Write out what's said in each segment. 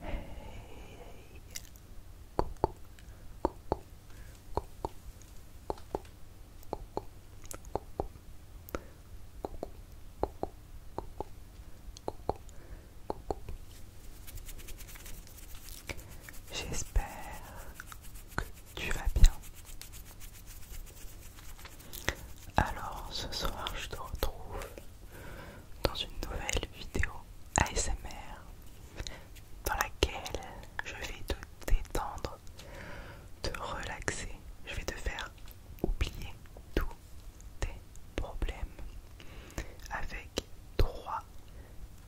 Hey, hey, coucou, coucou, coucou, coucou, coucou, coucou, coucou, coucou, coucou, coucou. J'espère que tu vas bien. Alors ce soir je te retrouve dans une nouvelle vidéo ASMR dans laquelle je vais te détendre, te relaxer, je vais te faire oublier tous tes problèmes avec trois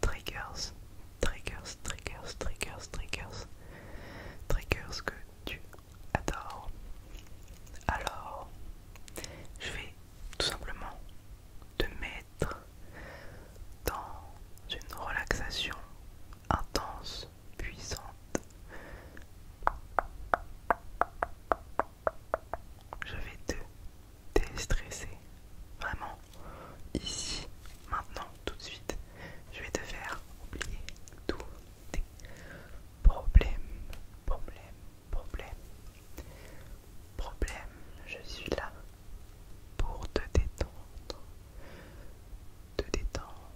triggers, triggers, triggers, triggers, triggers, triggers que tu adores. Alors, je vais tout simplement te mettre dans une relaxation intense, puissante. Je vais te déstresser, vraiment, ici, maintenant, tout de suite. Je vais te faire oublier tous tes problèmes, Problème. Problème, je suis là pour te détendre. Te détendre.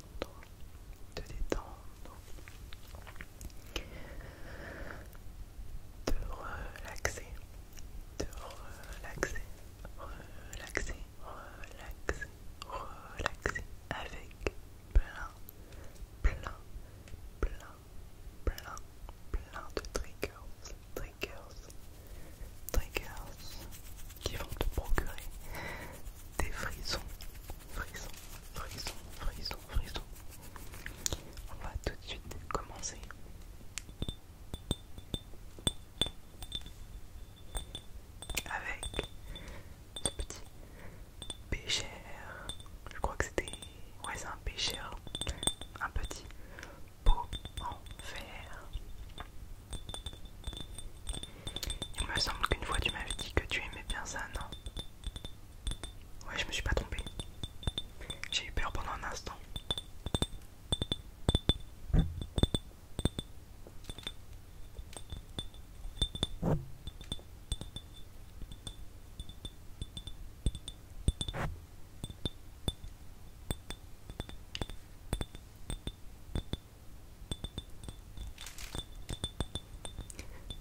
Te détendre. Te relaxer. Te relaxer. Relaxer. Relaxer. Relaxer. Avec plein. Plein. Plein plein, plein de triggers, triggers, triggers qui vont te procurer des frissons, frissons, frissons, frissons, frissons. On va tout de suite commencer. Avec ce petit pêcheur. Je crois que c'était. Ouais, c'est un pêcheur. Un petit pot en fer. Il me semble qu'une fois tu m'avais dit que tu aimais bien ça, non Ouais, je me suis pas trompé. J'ai eu peur pendant un instant.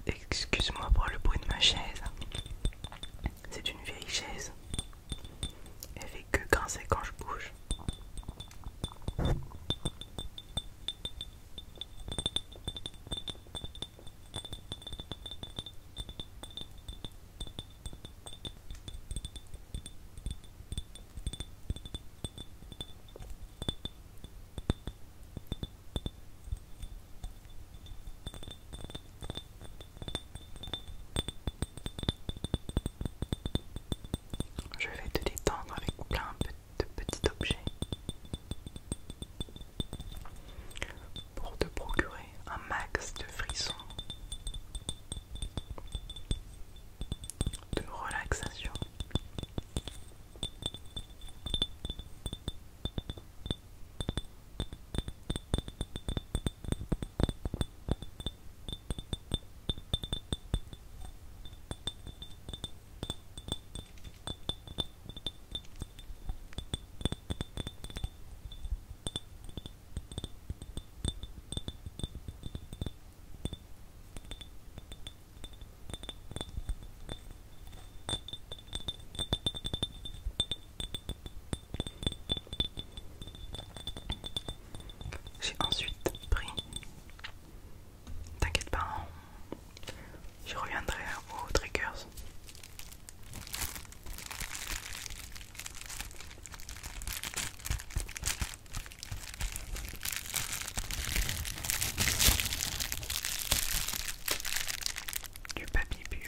Excuse-moi pour le bruit de ma chaise. C'est une vieille chaise. Elle fait que grincer quand je bouge. Je vais te détendre avec plein de de petits objets pour te procurer un max de frissons, de relaxation. J'ai ensuite pris T'inquiète pas, hein. je reviendrai aux triggers. Du papier bulle.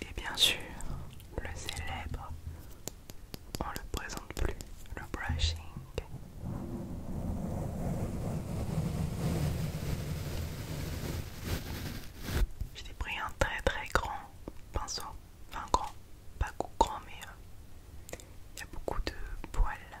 Et bien sûr, le célèbre, on le présente plus, le brushing. J'ai pris un très très grand pinceau, un grand, pas grand mais euh, il y a beaucoup de poils.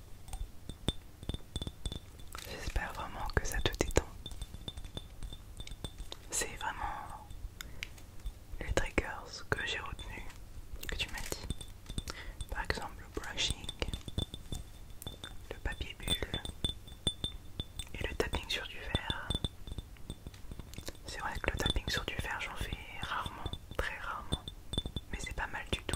J'espère vraiment que ça te détend. C'est vraiment les triggers que j'ai retenus, que tu m'as dit. Par exemple le brushing, le papier bulle et le tapping sur du verre. C'est vrai que le tapping sur du verre j'en fais rarement, très rarement mais c'est pas mal du tout.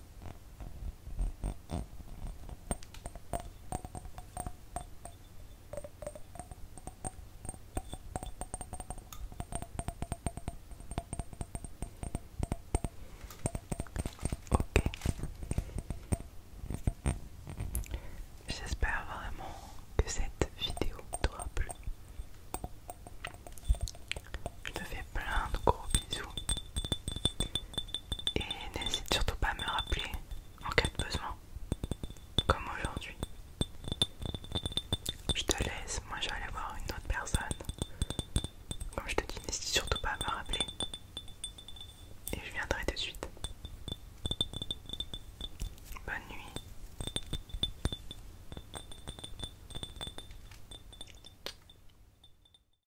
Ok. J'espère vraiment que cette vidéo t'aura plu. Je te fais plein de gros bisous et n'hésite surtout pas à me rappeler en cas de besoin, comme aujourd'hui. Je te laisse, moi je vais aller voir une autre personne. Comme je te dis, n'hésite surtout pas à me rappeler. Et je viendrai de suite. Bonne nuit.